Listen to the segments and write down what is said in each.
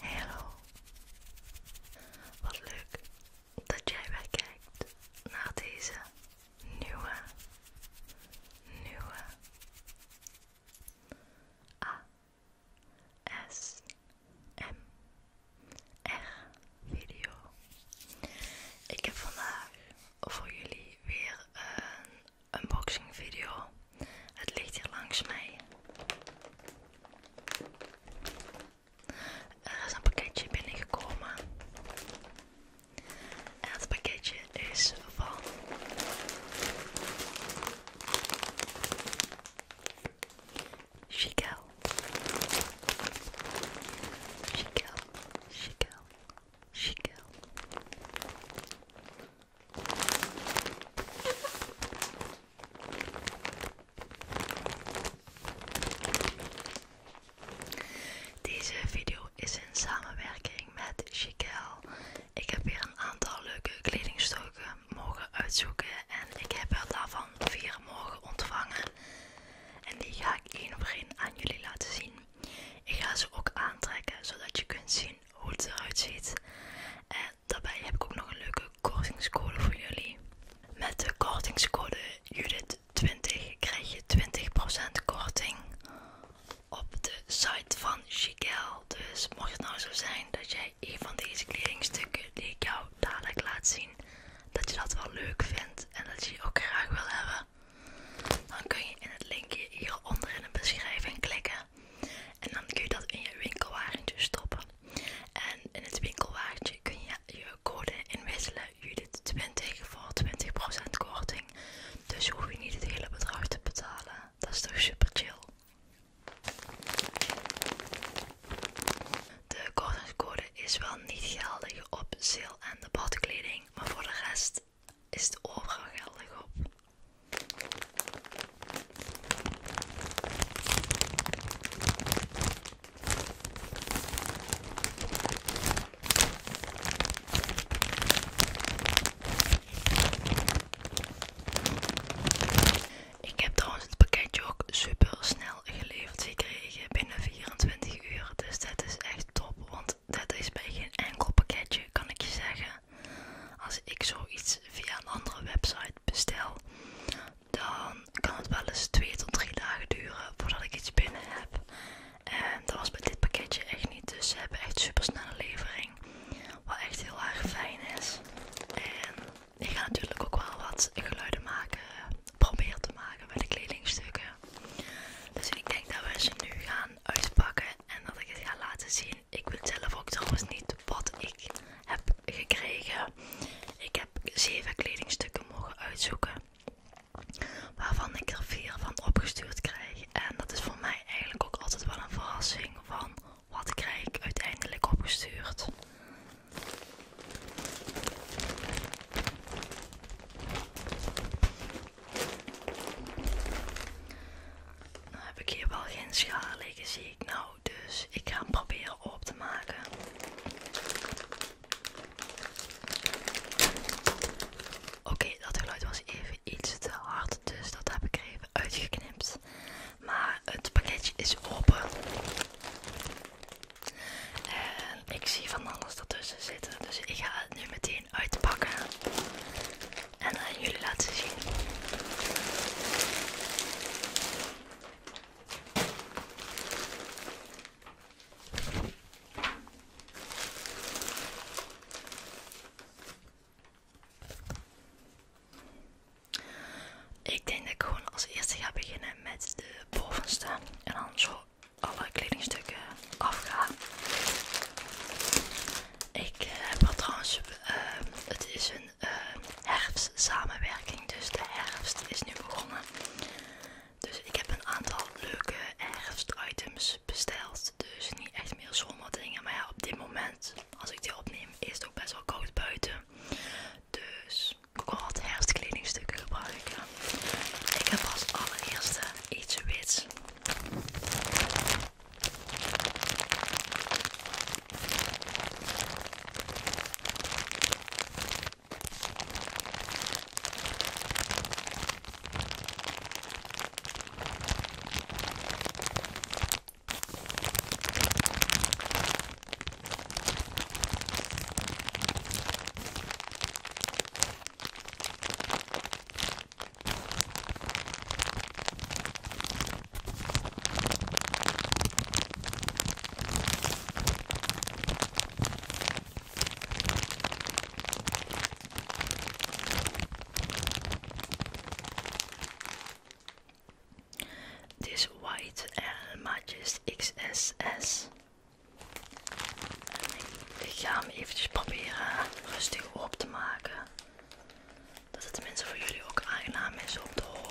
hallo. Wat leuk dat jij weer kijkt naar deze nieuwe, nieuwe A ASMR-video. Ik heb vandaag voor jullie weer een unboxing video. Het ligt hier langs mij. Er is een pakketje binnengekomen. En het pakketje is van Chiquel. Chiquel, Chiquel, Chiquel. Deze video is in samenwerking met Chiquel. Ik heb hier een aantal leuke kledingstukken mogen uitzoeken en ik heb er daarvan vier mogen ontvangen. En die ga ik één op één aan jullie laten zien. Ik ga ze ook aantrekken zodat je kunt zien hoe het eruit ziet. En daarbij heb ik ook nog een leuke kortingscode voor jullie. Met de kortingscode Judith20 krijg je 20% korting op de site van Chigel. Dus mocht het nou zo zijn dat jij een van deze kledingstukken die ik jou dadelijk laat zien, dat je dat wel leuk vindt en dat je die ook graag wil hebben, dan kun je in het linkje hier onder in de beschrijving klikken. En dan kun je dat in je winkelwagentje stoppen. En in het winkelwagentje kun je je code inwisselen. Judith 20 voor 20% korting. Dus hoef je niet het hele bedrag te betalen. Dat is toch super chill. De kortingscode is wel niet geldig op sale- en de badkleding, maar voor de rest is het overal geldig op. Ik heb trouwens het pakketje ook super snel geleverd gekregen binnen 24 uur. Dus dat is echt top. Want dat is bij geen enkel pakketje, kan ik je zeggen. Als ik zoiets via een andere website bestel, dan kan het wel eens 2 tot 3 dagen duren voordat ik iets binnen heb. En dat was bij dit pakketje echt niet. Dus ze hebben echt super snelle levering. Wat echt heel erg fijn is. En ik ga natuurlijk ook wel wat geluiden maken. proberen te maken bij de kledingstukken. Dus ik denk dat we ze nu gaan uitpakken en dat ik het ga laten zien. Ik wil zelf ook trouwens niet wat ik heb gekregen. Ik heb zeven kledingstukken mogen uitzoeken. Waarvan ik er vier van opgestuurd krijg. En dat is voor mij eigenlijk ook altijd wel een verrassing van wat krijg ik uiteindelijk opgestuurd. Dan nou, heb ik hier wel geen schaal liggen, zie ik nou. Dus ik ga hem proberen op te maken. Oké, dat geluid was even iets te hard, dus dat heb ik even uitgeknipt. Maar het pakketje is open. Eh, ik zie van alles ertussen zitten. Dus ik ga het nu meteen uitpakken. En aan eh, jullie laten zien. Ik denk dat ik gewoon als eerste ga beginnen met de bovenste en dan zo alle kledingstukken afgaan. Ik eh, heb er trouwens, ehm, het is een ehm, herfst samenwerking, dus de herfst is nu begonnen. Dus ik heb een aantal leuke herfst items besteld. Dus niet echt meer zomerdingen, maar ja, op dit moment, als ik die opneem, is het ook best wel koud buiten. Dus ik wil wat herfstkledingstukken gebruiken. Ik heb als allereerste iets wits. This white uh, matches XSS Ik ga hem eventjes proberen rustig op te maken. Dat het mensen voor jullie ook aangenaam is om te horen.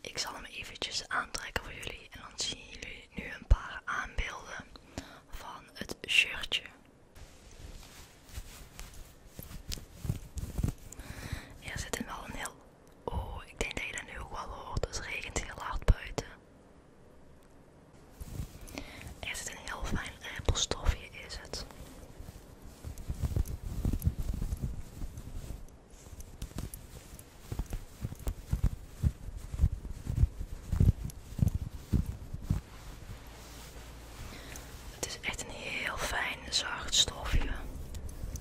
Ik zal hem eventjes aantrekken voor jullie en dan zien jullie nu een paar aanbeelden van het shirtje. Er zit wel een heel Oh, ik denk dat je dat nu ook wel hoort. Dus het regent heel hard buiten. Er het een heel fijn rimpelstofje, is het. Het is echt een heel fijn zacht stofje.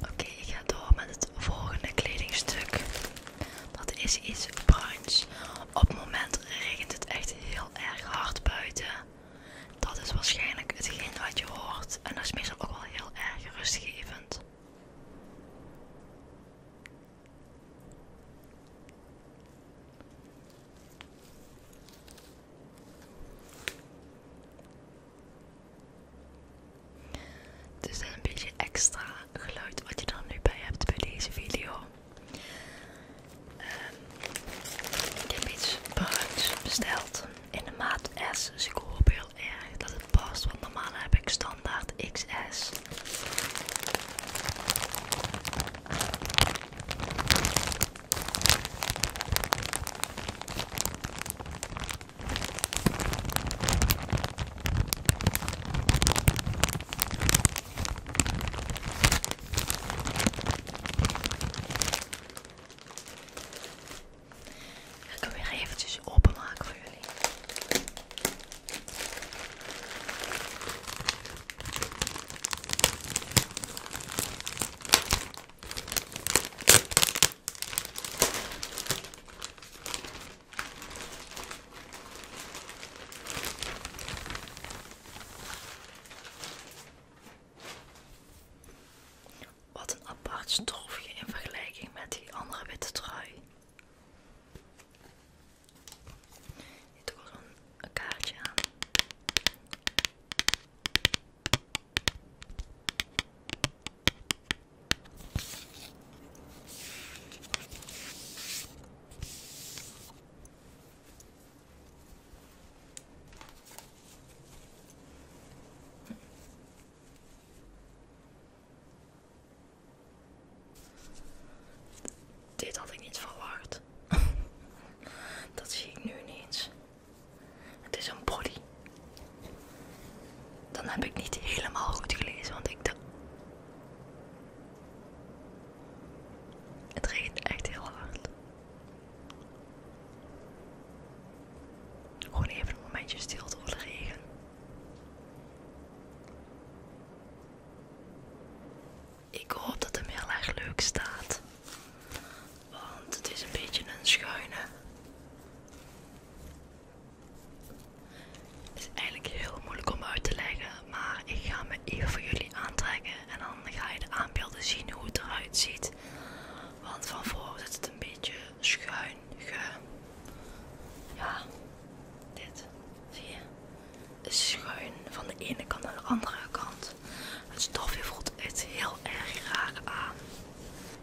Oké, ik ga door met het volgende kledingstuk. Dat is iets bruins. Op het moment regent het echt heel erg hard buiten. Dat is waarschijnlijk hetgeen wat je hoort. En dat is meestal ook wel heel erg rustgevend. Dus is een beetje extra geluid wat je dan nu bij hebt bij deze video. Ehm, ik heb iets bruins besteld in de maat S. Dus ik hoop heel erg dat het past, want normaal heb ik standaard XS. Ik kan weer eventjes openmaken voor jullie. Wat een apart stofje in vergelijking met die andere witte trui. Dit ook een kaartje aan. Dit had ik niet verwacht. Dat zie ik nu niet. Het is een body. Dan heb ik niet helemaal goed gelezen, want ik dacht. Het regent echt heel hard. Gewoon even een momentje stil door de regen. Ik hoop dat de mail erg leuk staat want het is een beetje een schuine. Het is eigenlijk heel moeilijk om uit te leggen, maar ik ga me even voor jullie aantrekken en dan ga je de aanbeelden zien hoe het eruit ziet. Want van voren is het een beetje schuin. Ja, dit zie je. Is schuin van de ene kant naar de andere kant. Het stofje voelt het heel erg raar aan.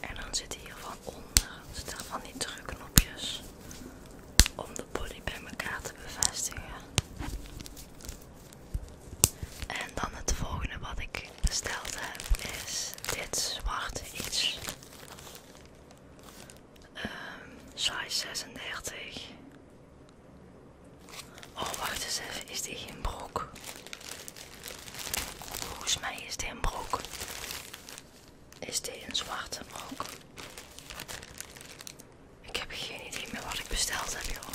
En dan zit hier van onder zitten van die drukknopjes om de body bij elkaar te bevestigen. En dan het volgende wat ik besteld heb is dit zwarte iets. Um, size 36. Oh, wacht eens even. Is dit een broek? Volgens mij is dit een broek. Is dit een zwarte broek? Ik heb geen idee meer wat ik besteld heb, joh.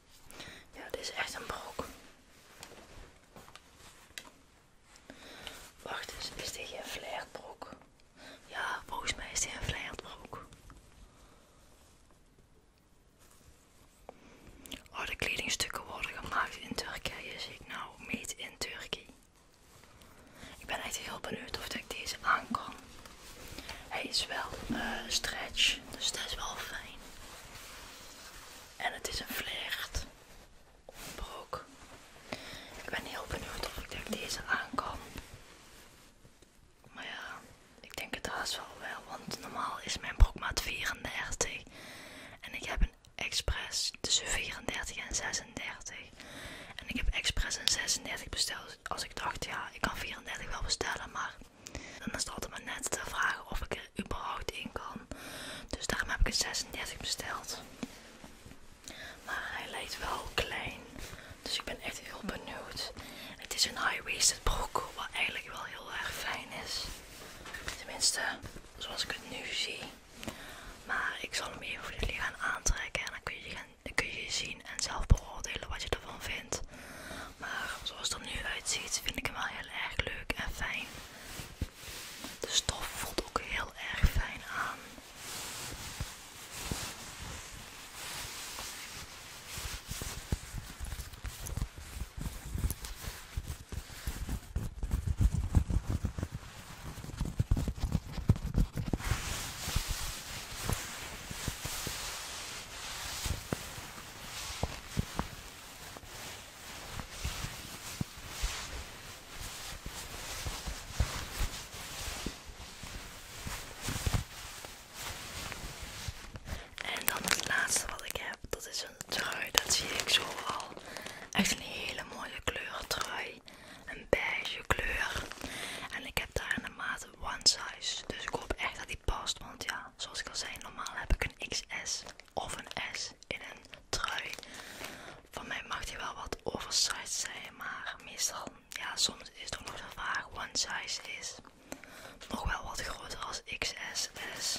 Ja, dit is echt een broek. Wacht eens, is dit een broek? Ja, volgens mij is dit een flairbrok. Oh, de kledingstukken worden gemaakt in Turkije, zie dus ik nou. Meet in Turkije. Ik ben echt heel benieuwd of ik deze aan Hij is wel eh, stretch, dus dat is wel fijn. En het is een vlecht broek. Ik ben heel benieuwd of ik denk deze aan Maar ja, ik denk het haast wel wel, want normaal is mijn broekmaat 34. En ik heb een expres tussen 34 en 36. En ik heb expres een 36 besteld. Als ik dacht, ja, ik kan 34 wel bestellen, maar en Dan is het altijd maar net te vragen of ik er überhaupt in kan. Dus daarom heb ik een 36 besteld. Maar hij lijkt wel klein. Dus ik ben echt heel benieuwd. Het is een high-waisted broek, wat eigenlijk wel heel erg fijn is. Tenminste, zoals ik het nu zie. Maar ik zal hem even voor jullie gaan aantrekken en dan kun je, kun je zien en zelf beoordelen wat je ervan vindt maar zoals het er nu uitziet vind ik hem wel heel erg leuk en fijn. De stof voelt ook heel erg fijn aan. En dan het laatste wat ik heb, dat is een trui. Dat zie ik zo al. Echt een hele mooie kleur trui. Een beige kleur. En ik heb daar in de maat one size. Dus ik hoop echt dat past, want ja, zoals ik al zei, normaal heb ik een XS of een S in een trui. Van mij mag die wel wat oversized zijn, maar meestal, ja, soms is het ook nog zo vaag. one size is nog wel wat groter als XS S.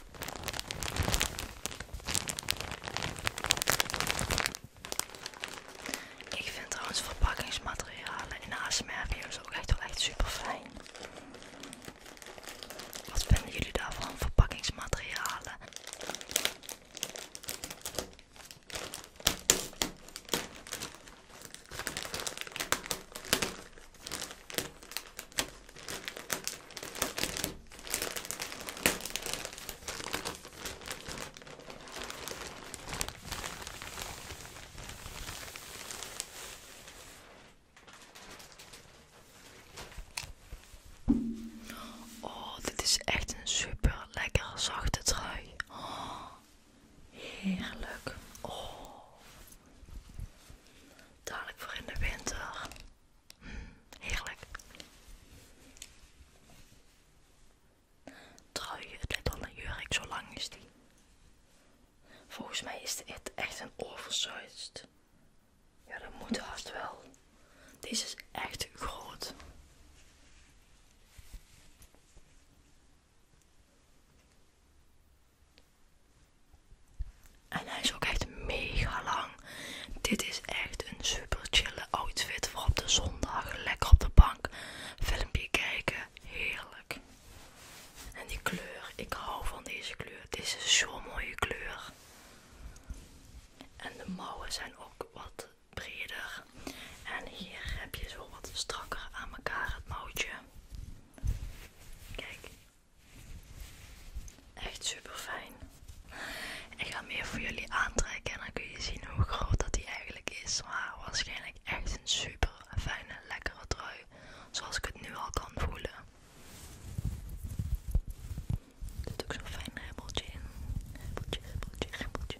Ik vind trouwens verpakkingsmaterialen in ASMR-video's ook echt wel echt super fijn. Wat vinden jullie daarvan, verpakkingsmaterialen? Oh, dit is echt een super lekker zachte trui. Oh, heerlijk. Oh. Dadelijk voor in de winter. Heerlijk. je het lijkt wel een jurk, zo lang is die. Volgens mij is dit echt een oversized. Ja, dat moet haast wel. Deze is echt groot. En hij is ook echt mega lang. Dit is echt een super chille outfit voor op de zondag. Lekker op de bank. Filmpje kijken. Heerlijk. En die kleur. Ik hou van deze kleur. Dit is zo'n mooie kleur. En de mouwen zijn ook wat breder. En hier heb je zo wat strakker aan elkaar het mouwtje. Kijk, Echt super fijn. Ik ga hem even voor jullie aantrekken en dan kun je zien hoe groot dat hij eigenlijk is. Maar waarschijnlijk echt een super fijne, lekkere trui. Zoals ik het nu al kan voelen. Er zit ook zo'n fijn rimpeltje in. Ribbeltje, ribbeltje, rimpeltje.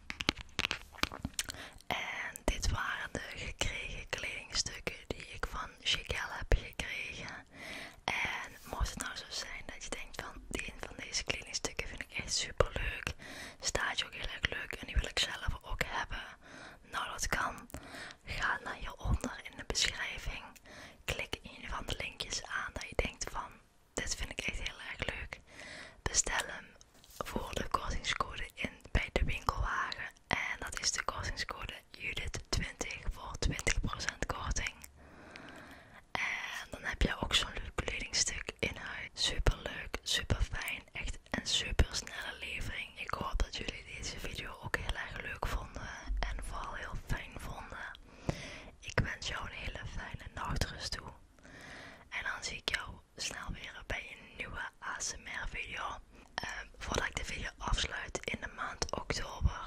En dit waren de gekregen kledingstukken die ik van Chicelle heb gekregen. En mocht het nou zo zijn dat je denkt van die van deze kledingstukken vind ik echt super leuk. Staat ook heel erg leuk en die wil ik zelf ook hebben. Nou dat kan. Ga naar hieronder in de beschrijving. Klik één van de linkjes aan dat je denkt van dit vind ik echt heel erg leuk. Bestel hem voor de kortingscode in, bij de winkelwagen. En dat is de kortingscode Judith20 voor 20% korting. En dan heb je ook zo'n leuk kledingstuk in huis. Super leuk, super fijn. Echt een super snelle levering. Ik hoop dat jullie deze video ook heel erg leuk vonden. En vooral heel fijn vonden. Ik wens jou een hele fijne nachtrust toe. En dan zie ik jou snel weer bij een nieuwe ASMR video. Ehm, voordat ik de video afsluit in de maand oktober.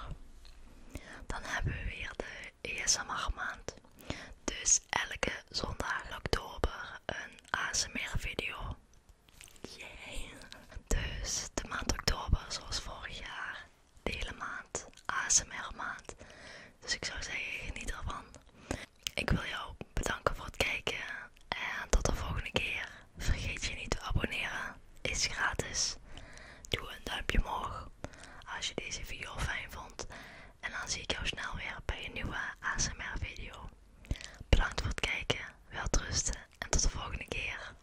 Dan hebben we weer de ASMR maand. Dus elke zondag in oktober een ASMR video. Yay! Dus de maand oktober zoals vorig jaar de hele maand, ASMR maand. Dus ik zou zeggen, geniet ervan. Ik wil jou bedanken voor het kijken en tot de volgende keer. Vergeet je niet te abonneren, is gratis. Doe een duimpje omhoog als je deze video fijn vond. En dan zie ik jou snel weer bij een nieuwe ASMR video. Bedankt voor het kijken, welterusten en tot de volgende keer.